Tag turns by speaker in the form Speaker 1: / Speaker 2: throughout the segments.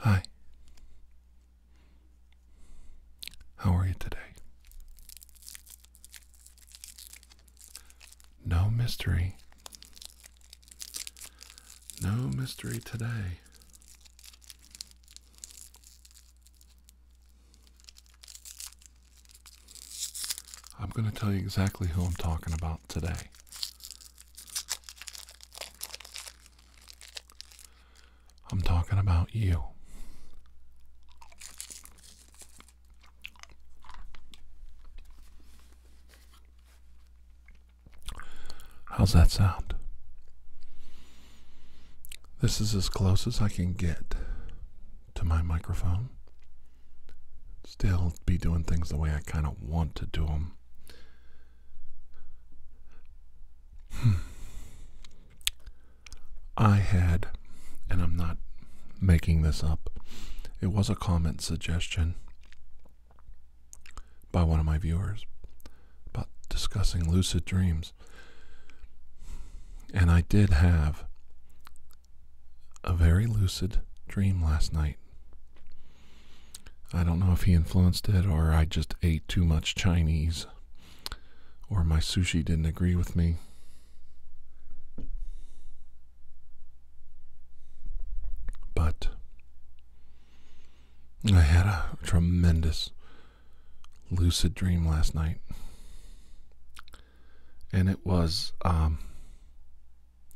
Speaker 1: Hi. How are you today? No mystery. No mystery today. I'm going to tell you exactly who I'm talking about today. I'm talking about you. How's that sound? This is as close as I can get to my microphone. Still be doing things the way I kind of want to do them. Hmm. I had, and I'm not making this up, it was a comment suggestion by one of my viewers about discussing lucid dreams. And I did have a very lucid dream last night. I don't know if he influenced it or I just ate too much Chinese or my sushi didn't agree with me. But I had a tremendous lucid dream last night and it was um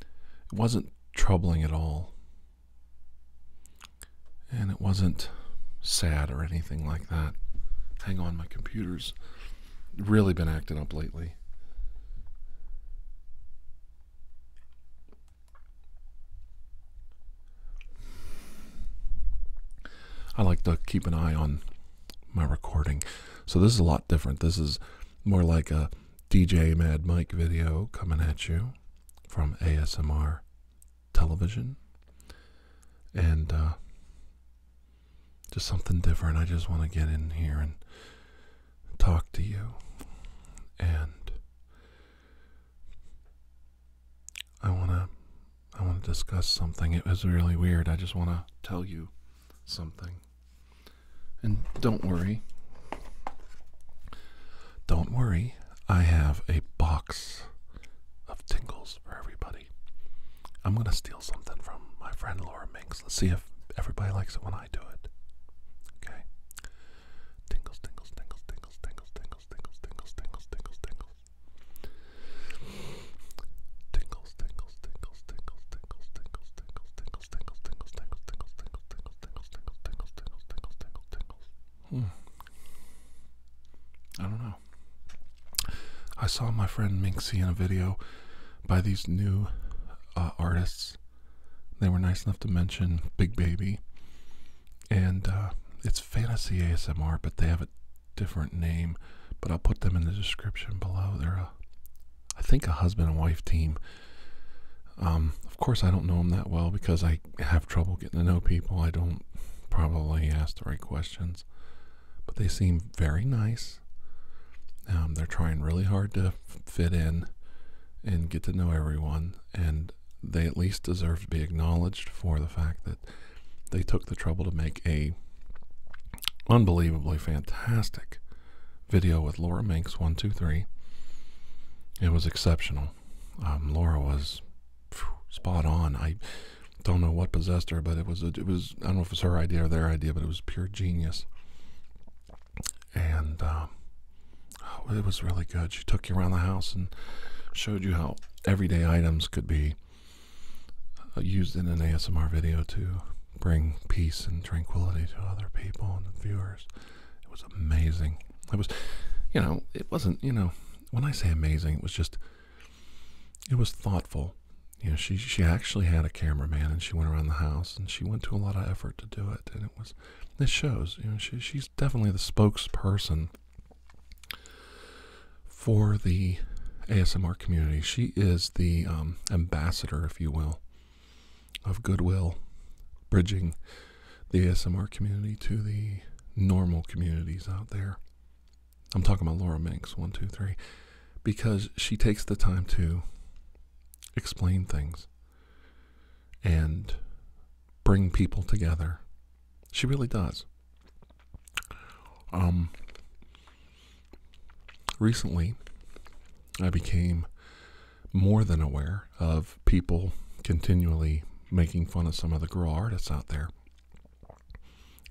Speaker 1: it wasn't troubling at all and it wasn't sad or anything like that hang on my computer's really been acting up lately I like to keep an eye on my recording. So this is a lot different. This is more like a DJ Mad Mike video coming at you from ASMR television. And uh, just something different. I just want to get in here and talk to you. And I want to I want to discuss something. It was really weird. I just want to tell you something. And don't worry. Don't worry. I have a box of tingles for everybody. I'm going to steal something from my friend Laura Minks. Let's see if everybody likes it when I do it. Okay? Tingles, tingles, tingles, tingles, tingles, tingles, tingles, tingles, tingles, tingles, tingles. Tingles, tingles, tingles, tingles, tingles, tingles, tingles, tingles, tingles, tingles, tingles, tingles, tingles, tingles, tingles, tingles, tingles, tingles, tingles, Hmm. I don't know. I saw my friend Minxie in a video by these new artists. They were nice enough to mention Big Baby. And it's fantasy ASMR, but they have it different name, but I'll put them in the description below. They're, a, I think, a husband and wife team. Um, of course, I don't know them that well because I have trouble getting to know people. I don't probably ask the right questions, but they seem very nice. Um, they're trying really hard to fit in and get to know everyone, and they at least deserve to be acknowledged for the fact that they took the trouble to make a unbelievably fantastic video with Laura Manx. 123. It was exceptional. Um, Laura was spot on. I don't know what possessed her, but it was it was I don't know if it was her idea or their idea, but it was pure genius. And um, oh, it was really good. She took you around the house and showed you how everyday items could be uh, used in an ASMR video to bring peace and tranquility to other people and viewers. It was amazing. It was, you know, it wasn't, you know, when I say amazing, it was just, it was thoughtful. You know, she she actually had a cameraman and she went around the house and she went to a lot of effort to do it and it was this shows, you know, she she's definitely the spokesperson for the ASMR community. She is the um, ambassador, if you will, of goodwill, bridging the ASMR community to the normal communities out there. I'm talking about Laura Minks, one, two, three, because she takes the time to explain things and bring people together. She really does. Um, recently, I became more than aware of people continually making fun of some of the girl artists out there.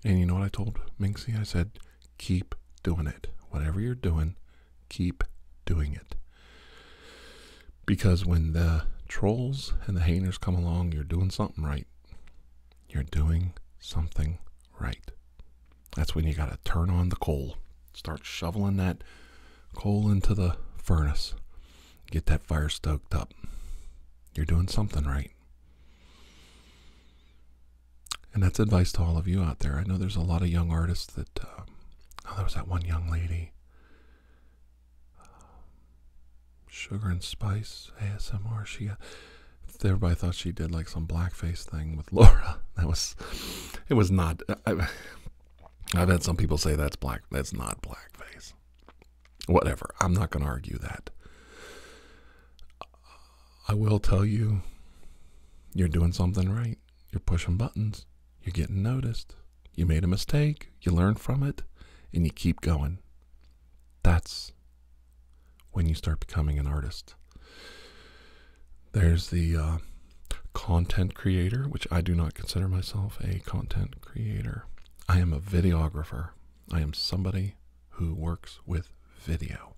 Speaker 1: And you know what I told Minxie? I said, keep doing it. Whatever you're doing, keep doing it. Because when the trolls and the haters come along, you're doing something right you're doing something right. That's when you got to turn on the coal, start shoveling that coal into the furnace, get that fire stoked up. You're doing something right. And that's advice to all of you out there. I know there's a lot of young artists that. Uh, oh, there was that one young lady. Sugar and Spice ASMR. She uh, everybody thought she did like some blackface thing with Laura. That was, it was not. Uh, I, I've had some people say that's black. That's not blackface. Whatever. I'm not going to argue that. I will tell you, you're doing something right. You're pushing buttons. You're getting noticed. You made a mistake. You learn from it, and you keep going. That's when you start becoming an artist. There's the uh, content creator, which I do not consider myself a content creator. I am a videographer. I am somebody who works with video.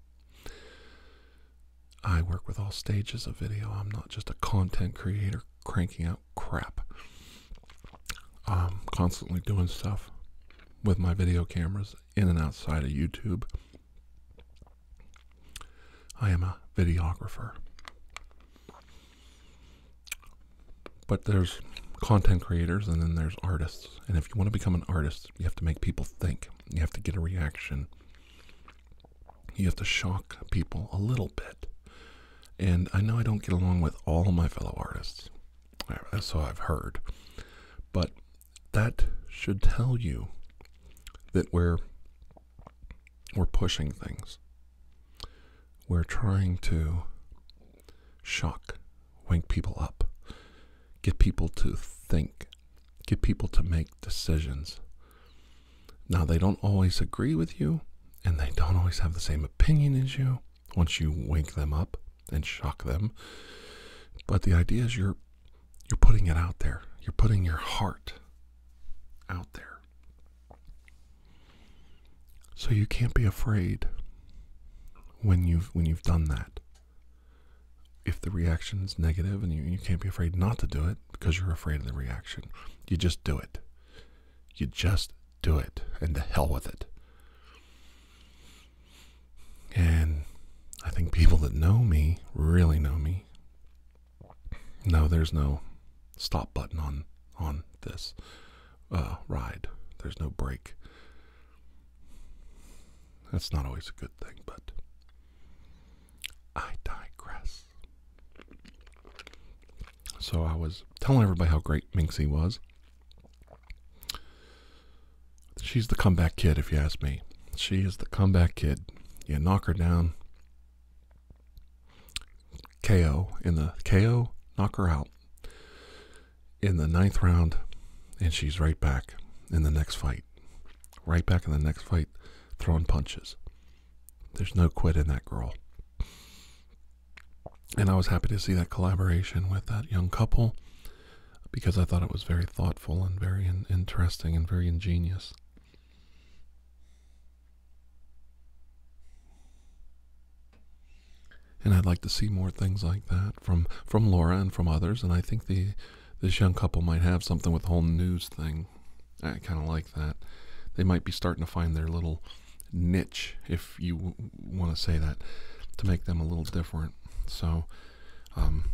Speaker 1: I work with all stages of video. I'm not just a content creator cranking out crap. I'm constantly doing stuff with my video cameras in and outside of YouTube. I am a videographer. But there's content creators and then there's artists. And if you want to become an artist, you have to make people think, you have to get a reaction, you have to shock people a little bit. And I know I don't get along with all my fellow artists. That's all I've heard. But that should tell you that we're we're pushing things. We're trying to shock, wake people up, get people to think, get people to make decisions. Now they don't always agree with you and they don't always have the same opinion as you, once you wake them up and shock them. But the idea is you're you're putting it out there. You're putting your heart out there. So you can't be afraid when you've when you've done that. If the reaction is negative and you, you can't be afraid not to do it because you're afraid of the reaction. You just do it. You just do it and to hell with it. And I think people that know me, really know me, No, there's no stop button on on this uh, ride. There's no break. That's not always a good thing, but I digress. So I was telling everybody how great Minxie was. She's the comeback kid, if you ask me. She is the comeback kid. You knock her down, KO in the KO, knock her out in the ninth round, and she's right back in the next fight. Right back in the next fight, throwing punches. There's no quit in that girl. And I was happy to see that collaboration with that young couple because I thought it was very thoughtful and very interesting and very ingenious. And I'd like to see more things like that from from Laura and from others. And I think the this young couple might have something with the whole news thing. I kind of like that. They might be starting to find their little niche if you want to say that, to make them a little different. So, um,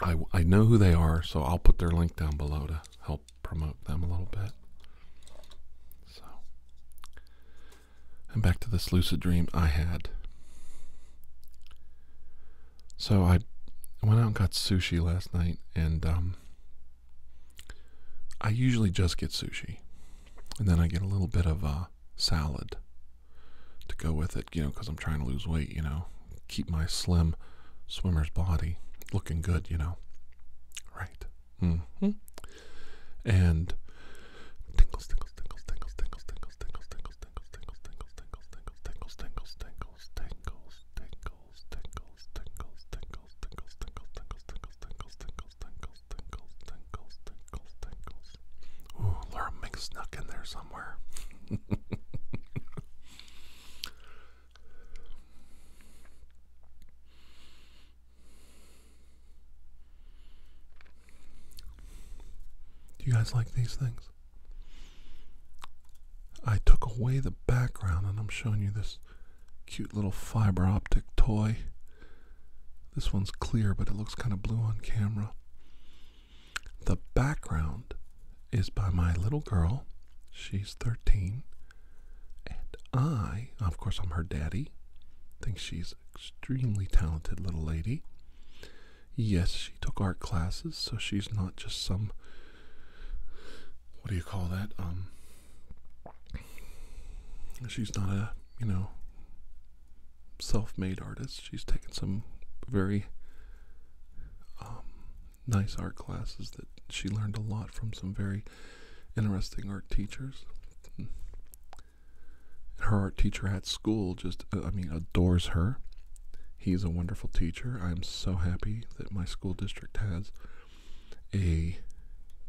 Speaker 1: I, know who they are, so I'll put their link down below to help promote them a little bit. So, and back to this lucid dream I had. So I went out and got sushi last night, and um, I usually just get sushi, and then I get a little bit of uh, salad to go with it, you know, because I'm trying to lose weight, you know, keep my slim swimmer's body looking good, you know. Right. Mm hmm. And tinkles, tinkles, tinkles, tinkles, Ooh, Laura Mink snuck in there somewhere. Do you guys like these things? I took away the background and I'm showing you this cute little fiber optic toy this one's clear, but it looks kind of blue on camera. The background is by my little girl. She's 13. And I, of course, I'm her daddy. Think she's extremely talented little lady. Yes, she took art classes, so she's not just some what do you call that? Um she's not a, you know, self-made artist. She's taken some very um, nice art classes that she learned a lot from some very interesting art teachers. her art teacher at school just, uh, I mean, adores her. He's a wonderful teacher. I'm so happy that my school district has a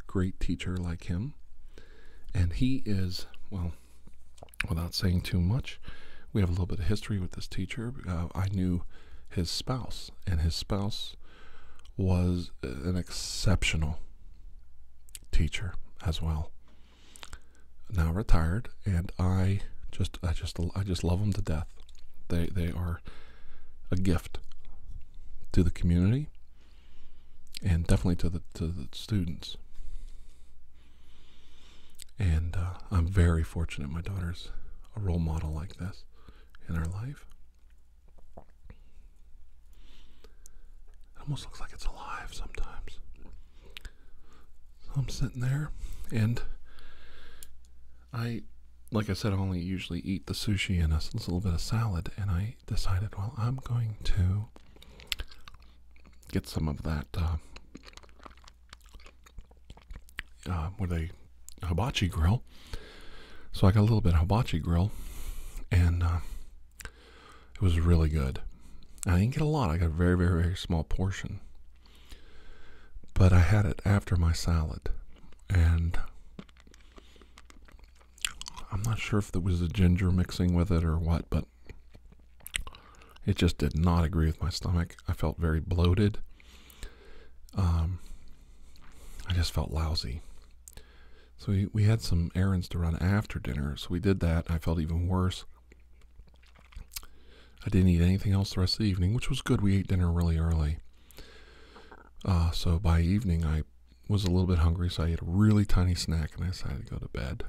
Speaker 1: great teacher like him. And he is, well, without saying too much, we have a little bit of history with this teacher. Uh, I knew his spouse, and his spouse was an exceptional teacher as well. Now retired, and I just, I just, I just love them to death. They, they are a gift to the community and definitely to the to the students. And uh, I'm very fortunate. My daughter's a role model like this in her life. It almost looks like it's alive sometimes. So I'm sitting there, and I, like I said, I only usually eat the sushi and a little bit of salad, and I decided, well, I'm going to get some of that. Uh, uh, with a hibachi grill. So I got a little bit of hibachi grill, and uh, it was really good. I didn't get a lot. I got a very, very, very small portion. But I had it after my salad, and I'm not sure if there was a ginger mixing with it or what, but it just did not agree with my stomach. I felt very bloated. Um, I just felt lousy. So we, we had some errands to run after dinner, so we did that. I felt even worse. I didn't eat anything else the rest of the evening, which was good. We ate dinner really early. Uh, so by evening, I was a little bit hungry, so I ate a really tiny snack and I decided to go to bed.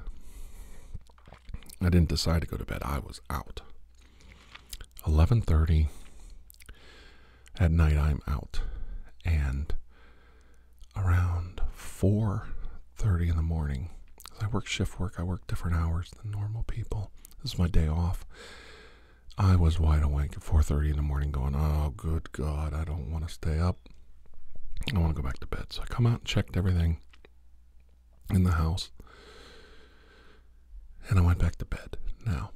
Speaker 1: I didn't decide to go to bed. I was out. 11:30 at night I'm out and around 4:30 in the morning I work shift work. I work different hours than normal people. This is my day off. I was wide awake at 4:30 in the morning going, "Oh good god, I don't want to stay up." I want to go back to bed. So I come out and checked everything in the house. And I went back to bed. Now,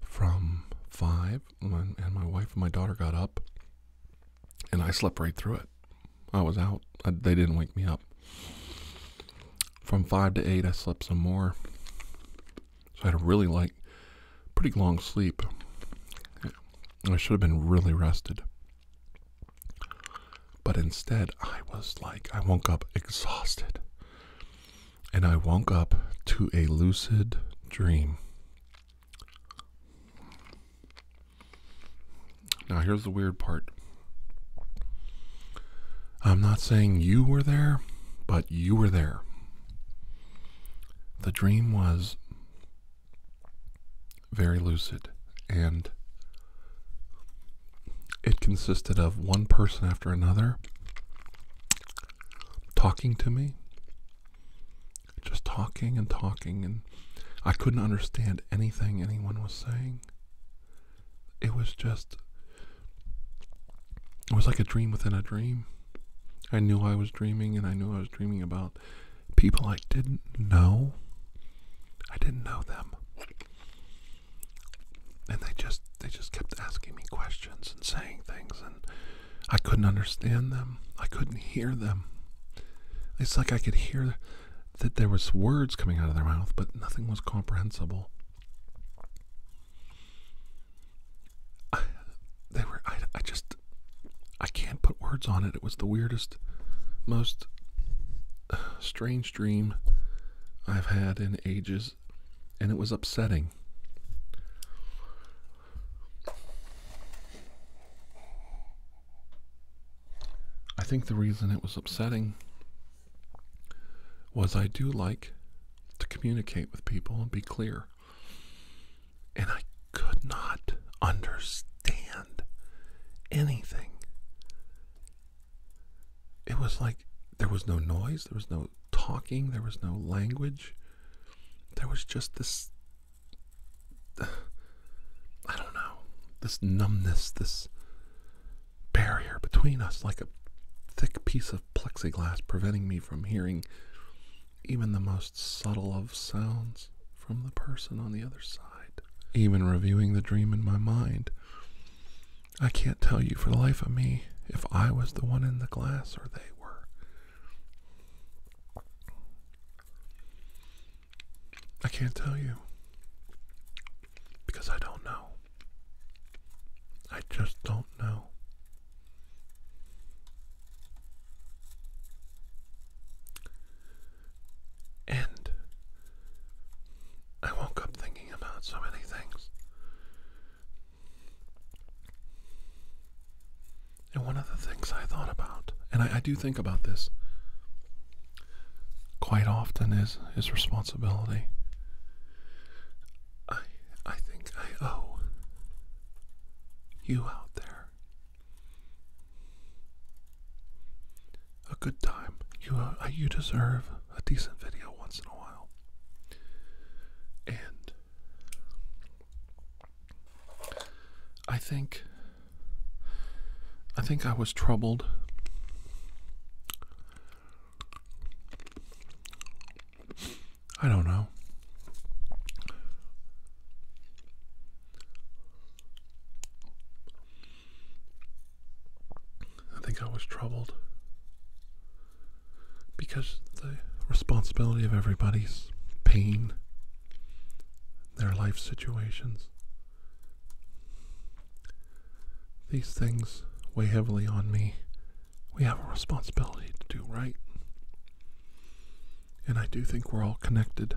Speaker 1: from five, when, and my wife and my daughter got up, and I slept right through it. I was out. they didn't wake me up. From five to eight, I slept some more. So I had a really like, pretty long sleep. I should have been really rested. But instead, I was like, I woke up exhausted. And I woke up to a lucid dream. Now, here's the weird part. I'm not saying you were there, but you were there. The dream was very lucid and it consisted of one person after another talking to me, just talking and talking, and I couldn't understand anything anyone was saying. It was just it was like a dream within a dream. I knew I was dreaming, and I knew I was dreaming about people I didn't know. I didn't know them. And they just they just kept asking me questions and saying things and I couldn't understand them. I couldn't hear them. It's like I could hear that there was words coming out of their mouth, but nothing was comprehensible. I, they were I, I just I can't put words on it. It was the weirdest, most strange dream I've had in ages, and it was upsetting. I think the reason it was upsetting was I do like to communicate with people and be clear. And I could not understand anything. It was like there was no noise, there was no talking, there was no language. There was just this I don't know, this numbness, this barrier between us like a thick piece of plexiglass preventing me from hearing even the most subtle of sounds from the person on the other side. Even reviewing the dream in my mind, I can't tell you for the life of me if I was the one in the glass or they were. I can't tell you because I don't know. I just don't know. And I woke up thinking about so many things. And one of the things I thought about, and I, I do think about this quite often, is is responsibility. I I think I owe you out there a good time. You uh, you deserve a decent video once in a while. And I think I think I was troubled I don't know. I think I was troubled because the responsibility of everybody's pain, their life situations, these things weigh heavily on me we have a responsibility to do right. And I do think we're all connected.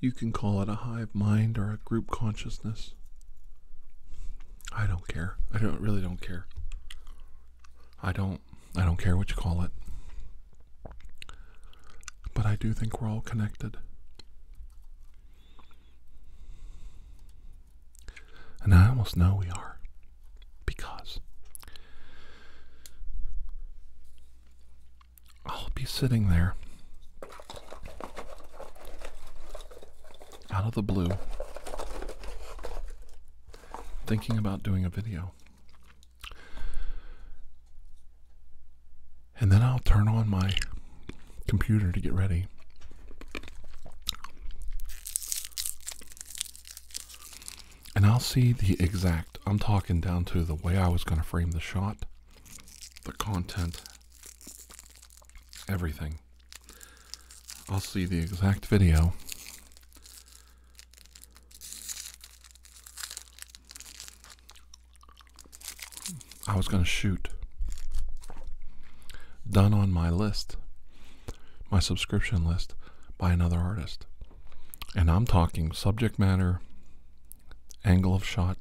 Speaker 1: You can call it a hive mind or a group consciousness. I don't care. I don't really don't care. I don't I don't care what you call it. But I do think we're all connected. And I almost know we are because I'll be sitting there out of the blue thinking about doing a video. And then I'll turn on my computer to get ready. And I'll see the exact, I'm talking down to the way I was going to frame the shot, the content, everything. I'll see the exact video. I was going to shoot done on my list, my subscription list, by another artist. And I'm talking subject matter, angle of shot,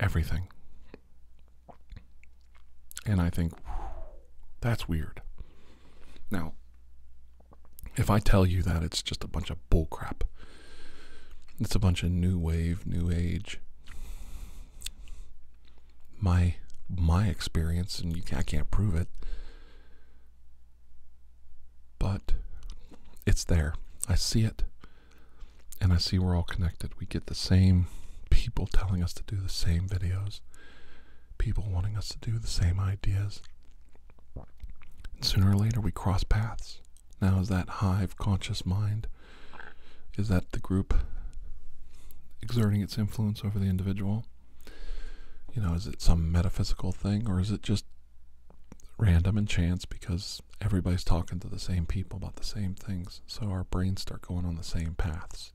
Speaker 1: everything. And I think, that's weird. Now, if I tell you that, it's just a bunch of bullcrap. It's a bunch of new wave, new age my my experience, and you, I can't prove it, but it's there. I see it, and I see we're all connected. We get the same people telling us to do the same videos, people wanting us to do the same ideas. And sooner or later, we cross paths. Now, is that hive conscious mind is that the group exerting its influence over the individual? You know, is it some metaphysical thing or is it just random and chance because everybody's talking to the same people about the same things? So our brains start going on the same paths.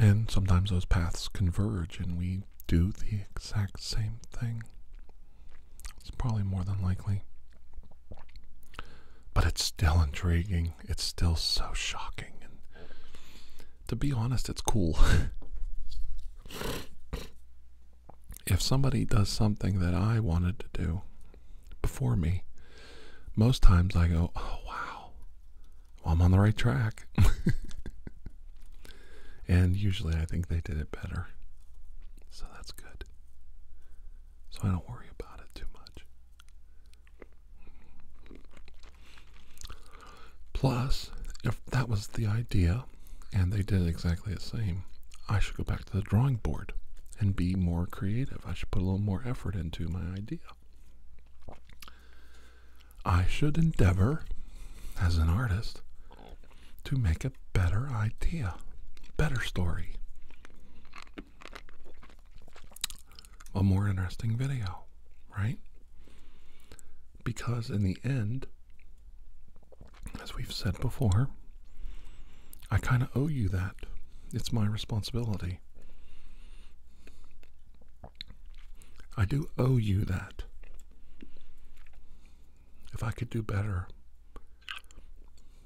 Speaker 1: And sometimes those paths converge and we do the exact same thing. It's probably more than likely. But it's still intriguing. It's still so shocking. And to be honest, it's cool. if somebody does something that I wanted to do before me, most times I go, oh, wow, I'm on the right track. and usually I think they did it better. So that's good so I don't worry about it too much. Plus, if that was the idea and they did exactly the same, I should go back to the drawing board and be more creative. I should put a little more effort into my idea. I should endeavor, as an artist, to make a better idea, better story, a more interesting video, right? Because in the end, as we've said before, I kind of owe you that. It's my responsibility. I do owe you that. If I could do better,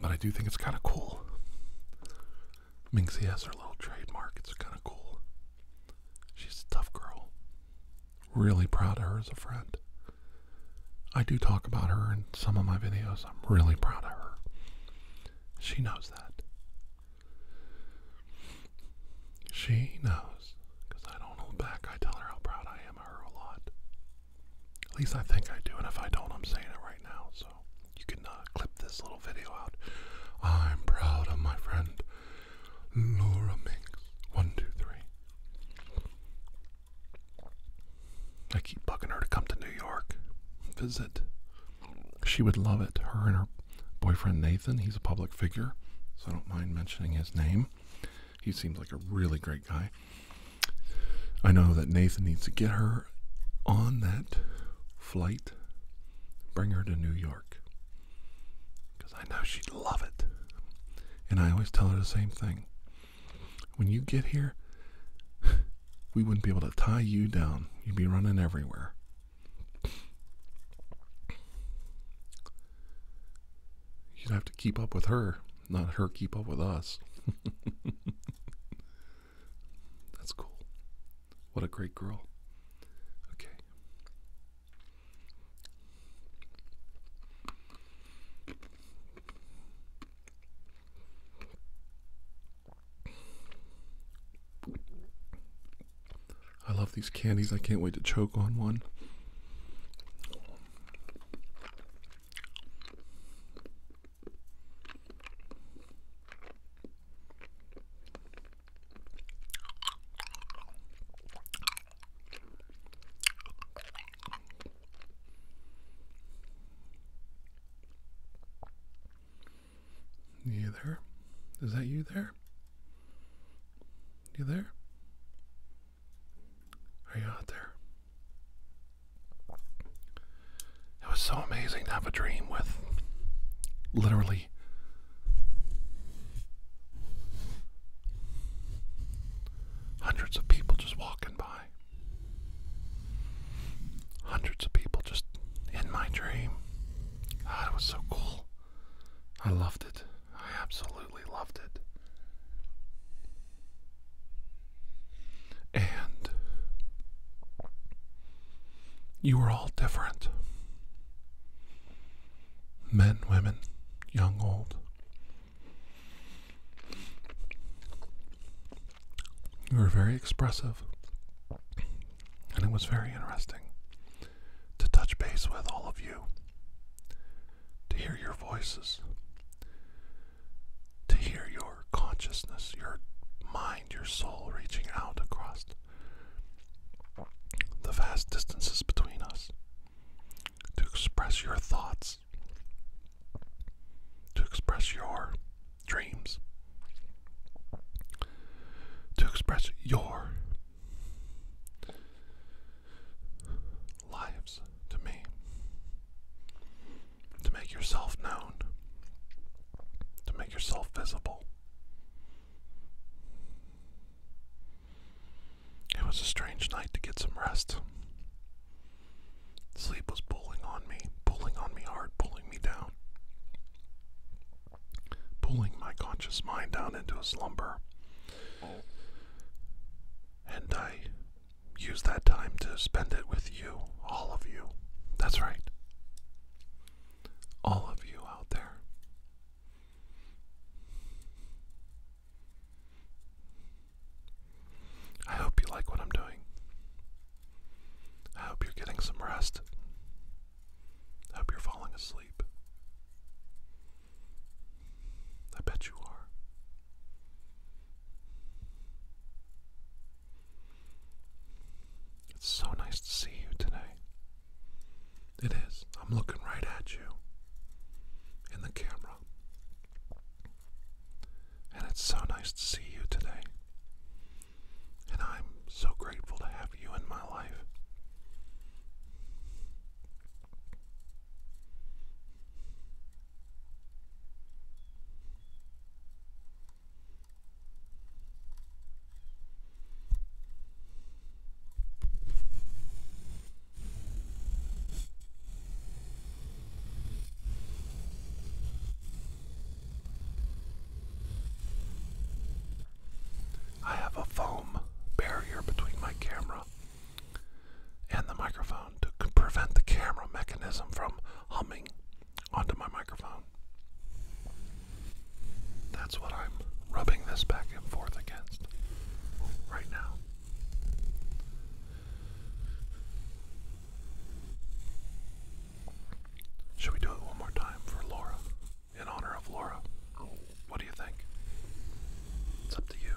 Speaker 1: But I do think it's kind of cool. Minxie has her little trademark. It's kind of cool. She's a tough girl. Really proud of her as a friend. I do talk about her in some of my videos. I'm really proud of her. She knows that. She knows. Because I don't hold back. I tell her how proud I am of her a lot. At least I think I do, and if I don't, I'm saying it right now. So you can uh, clip this little video out. I'm proud of my friend Laura Minks. One, two, three. I keep bugging her to come to New York, visit. She would love it. Her and her boyfriend Nathan, he's a public figure, so I don't mind mentioning his name. He seems like a really great guy. I know that Nathan needs to get her on that flight, bring her to New York. Because I know she'd love it. And I always tell her the same thing. When you get here, we wouldn't be able to tie you down. You'd be running everywhere. You'd have to keep up with her not her keep up with us. That's cool. What a great girl. Okay. I love these candies. I can't wait to choke on one. You there? Is that you there? You there? Are you out there? It was so amazing to have a dream with literally hundreds of people just walking by. Hundreds of people just in my dream. God, it was so cool. I loved it. I absolutely loved it. And you were all different men, women, young, old. You were very expressive, and it was very interesting to touch base with all of you, to hear your voices, to hear your consciousness, your mind, your soul reaching out across the vast distances between us, to express your thoughts, to express your dreams, to express your lives to me. To make yourself known, to make yourself visible. It was a strange night to get some rest. Sleep was pulling on me, pulling on me hard, pulling me down, pulling my conscious mind down into a slumber. And I use that time to spend it with you, all of you. That's right. All of you out there. I hope you like what I'm doing. I hope you're getting some rest. I hope you're falling asleep. I bet you are. It's so nice to see you today. It is. I'm looking right at you in the camera. And it's so nice to see you today. And I'm so grateful to have you in my life. I have a foam barrier between my camera and the microphone to prevent the camera mechanism from humming onto my microphone. That's what I'm rubbing this back and forth against right now. Should we do it one more time for Laura? In honor of Laura? What do you think? It's up to you.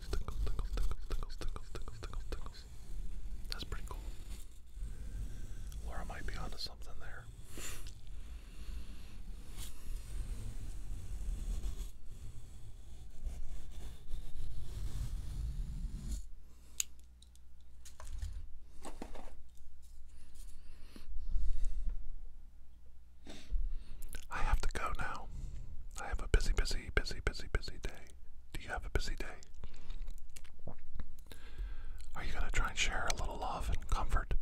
Speaker 1: tingles, tingles, tingles, tingles, tingles, tingles, tingles, tingles. That's pretty cool. Laura might be onto something there. I have to go now. I have a busy, busy, busy, busy, busy day. Do you have a busy day? Are you going to try and share a little love and comfort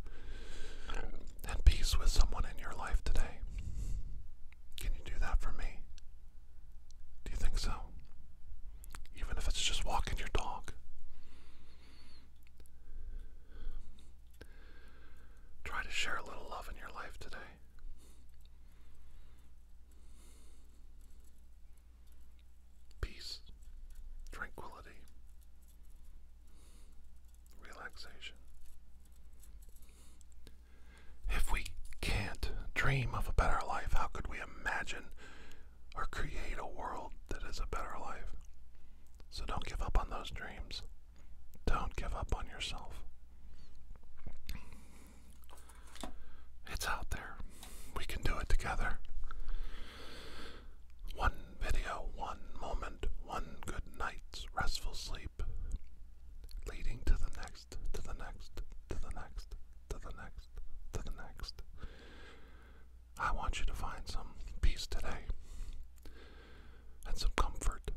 Speaker 1: and peace with someone in your life today? Can you do that for me? Do you think so? Even if it's just walking your dog. Try to share a little love in your life today. Peace, tranquility, relaxation. If we can't dream of a better life, how could we imagine or create a world that is a better life? So don't give up on those dreams. Don't give up on yourself. It's out there. We can do it together. One video, one moment, one good night's restful sleep, leading to the next, to the next, to the next, to the next, to the next. I want you to find some peace today and some comfort.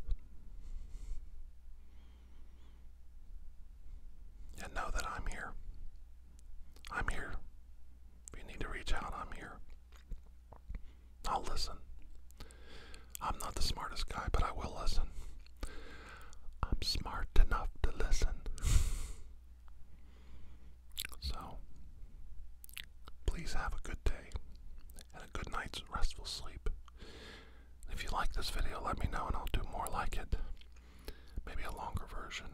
Speaker 1: And know that I'm here. I'm here. If you need to reach out, I'm here. I'll listen. I'm not the smartest guy, but I will listen. I'm smart enough to listen. so, please have a good day and a good night's restful sleep. If you like this video, let me know and I'll do more like it. Maybe a longer version.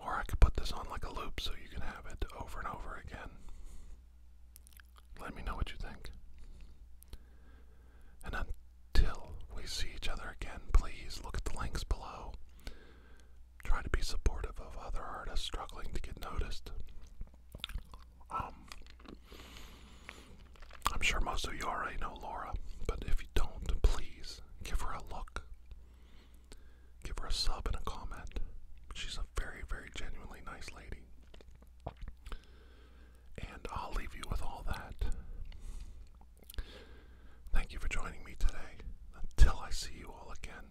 Speaker 1: Or I could put this on like a loop so you can have it over and over again. Let me know what you think. And until we see each other again, please look at the links below. Try to be supportive of other artists struggling to get noticed. Um, I'm sure most of you already know Laura, but if you don't, please give her a look. Give her a sub and a comment. She's a very, very genuinely nice lady. And I'll leave you with all that. Thank you for joining me today. Until I see you all again,